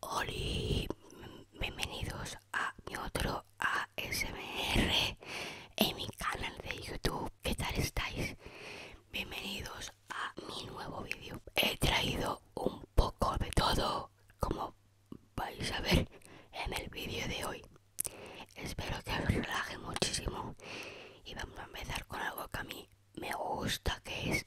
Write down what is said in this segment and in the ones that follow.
Hola, bienvenidos a mi otro ASMR en mi canal de YouTube. ¿Qué tal estáis? Bienvenidos a mi nuevo vídeo. He traído un poco de todo, como vais a ver en el vídeo de hoy. Espero que os relaje muchísimo y vamos a empezar con algo que a mí me gusta, que es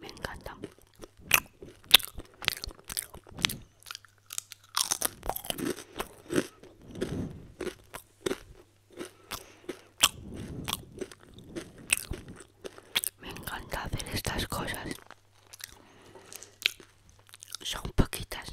Me encanta. Me encanta hacer estas cosas. Son poquitas.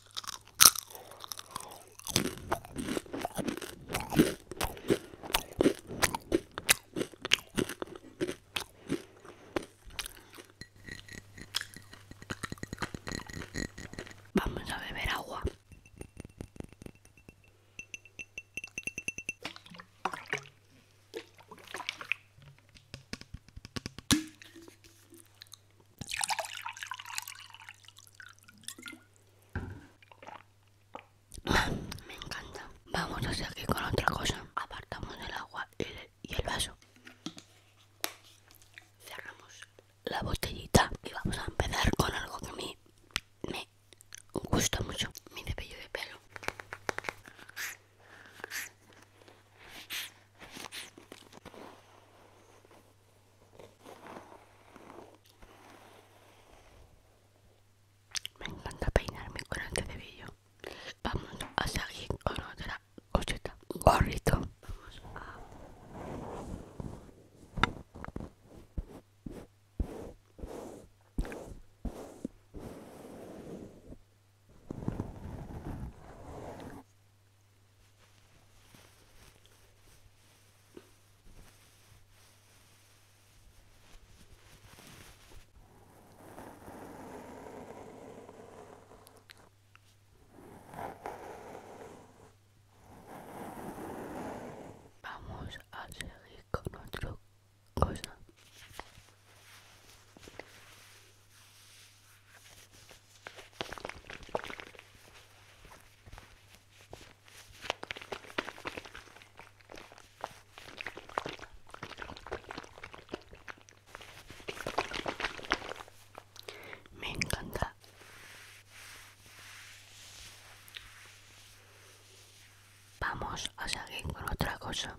Vamos a beber agua. Me encanta. Vamos a seguir con otra cosa. Apartamos el agua y el, vaso. Cerramos la botellita y vamos a empezar con algo que me, me gusta mucho. Mi cepillo de pelo. Me encanta peinarme con este debillo. Vamos a seguir con otra cosita. Gorrito. Vamos a... Vamos a seguir con otra cosa. Me encanta. Vamos a seguir con otra cosa.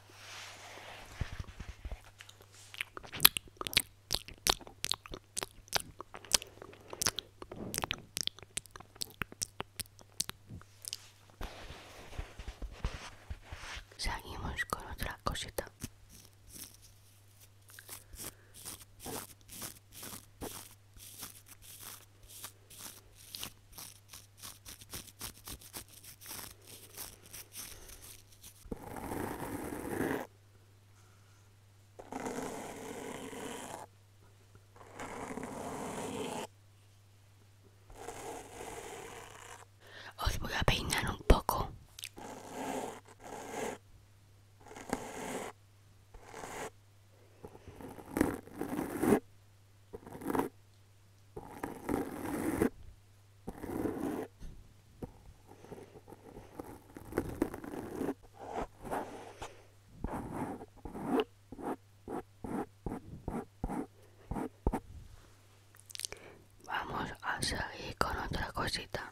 Seguimos con otra cosita. Os voy a peinar un poco. Vamos a seguir con otra cosita.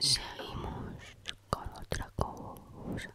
Seguimos con otra cosa.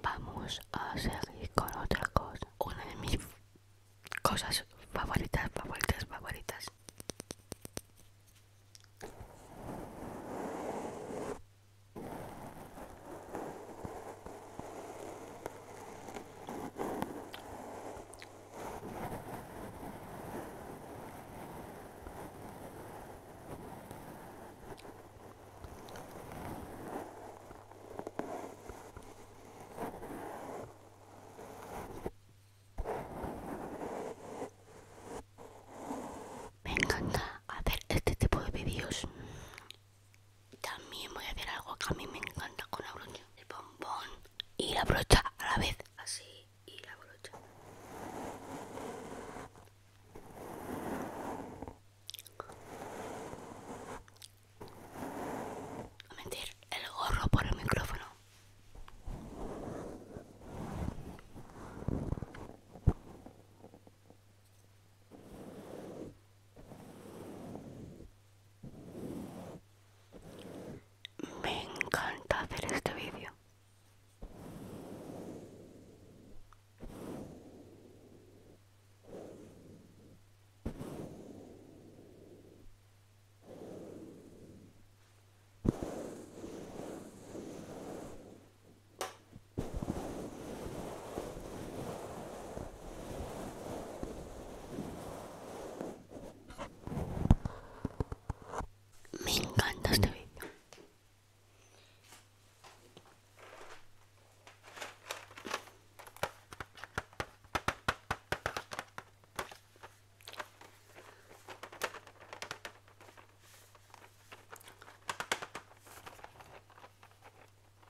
Vamos a seguir con otra cosa. Una de mis cosas favoritas, favoritas, favoritas. Me encanta hacer este tipo de vídeos también voy a hacer algo que a mí me encanta con la brocha. El bombón y la brocha a la vez. Así y la brocha. A mentir, el gorro por el micrófono. Me encanta hacer este vídeo. Me encanta este vídeo.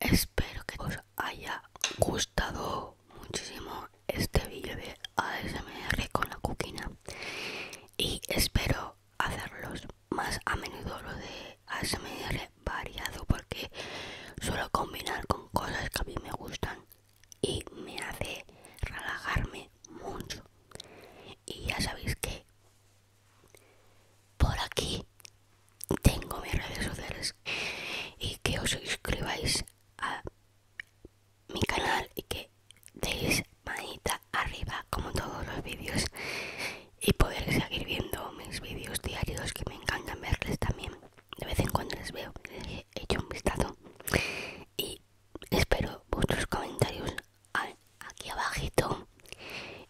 Espero que os haya gustado muchísimo este vídeo de ASMR con la cocina y espero hacerlos más a menudo lo de ASMR variado porque suelo combinar con cosas que a mí me gustan y me hace relajarme mucho y ya sabéis que por aquí tengo mis redes sociales y que os suscribáis a mi canal y que deis manita arriba como todos los vídeos y poder seguir viendo mis vídeos diarios que me encantan verles también de vez en cuando les veo he hecho un vistazo y espero vuestros comentarios aquí abajito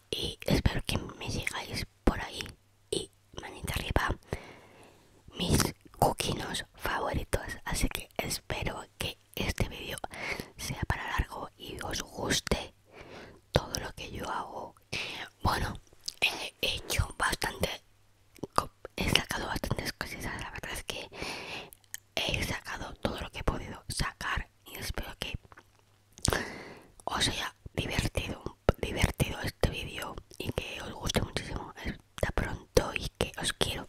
y espero que me sigáis por ahí y manita arriba mis coquinos favoritos así que espero que este vídeo sea para largo y os guste todo lo que yo hago. Bueno, he hecho bastante, he sacado bastantes cosas. La verdad es que he sacado todo lo que he podido sacar y espero que os haya divertido, divertido este vídeo y que os guste muchísimo. Hasta pronto y que os quiero.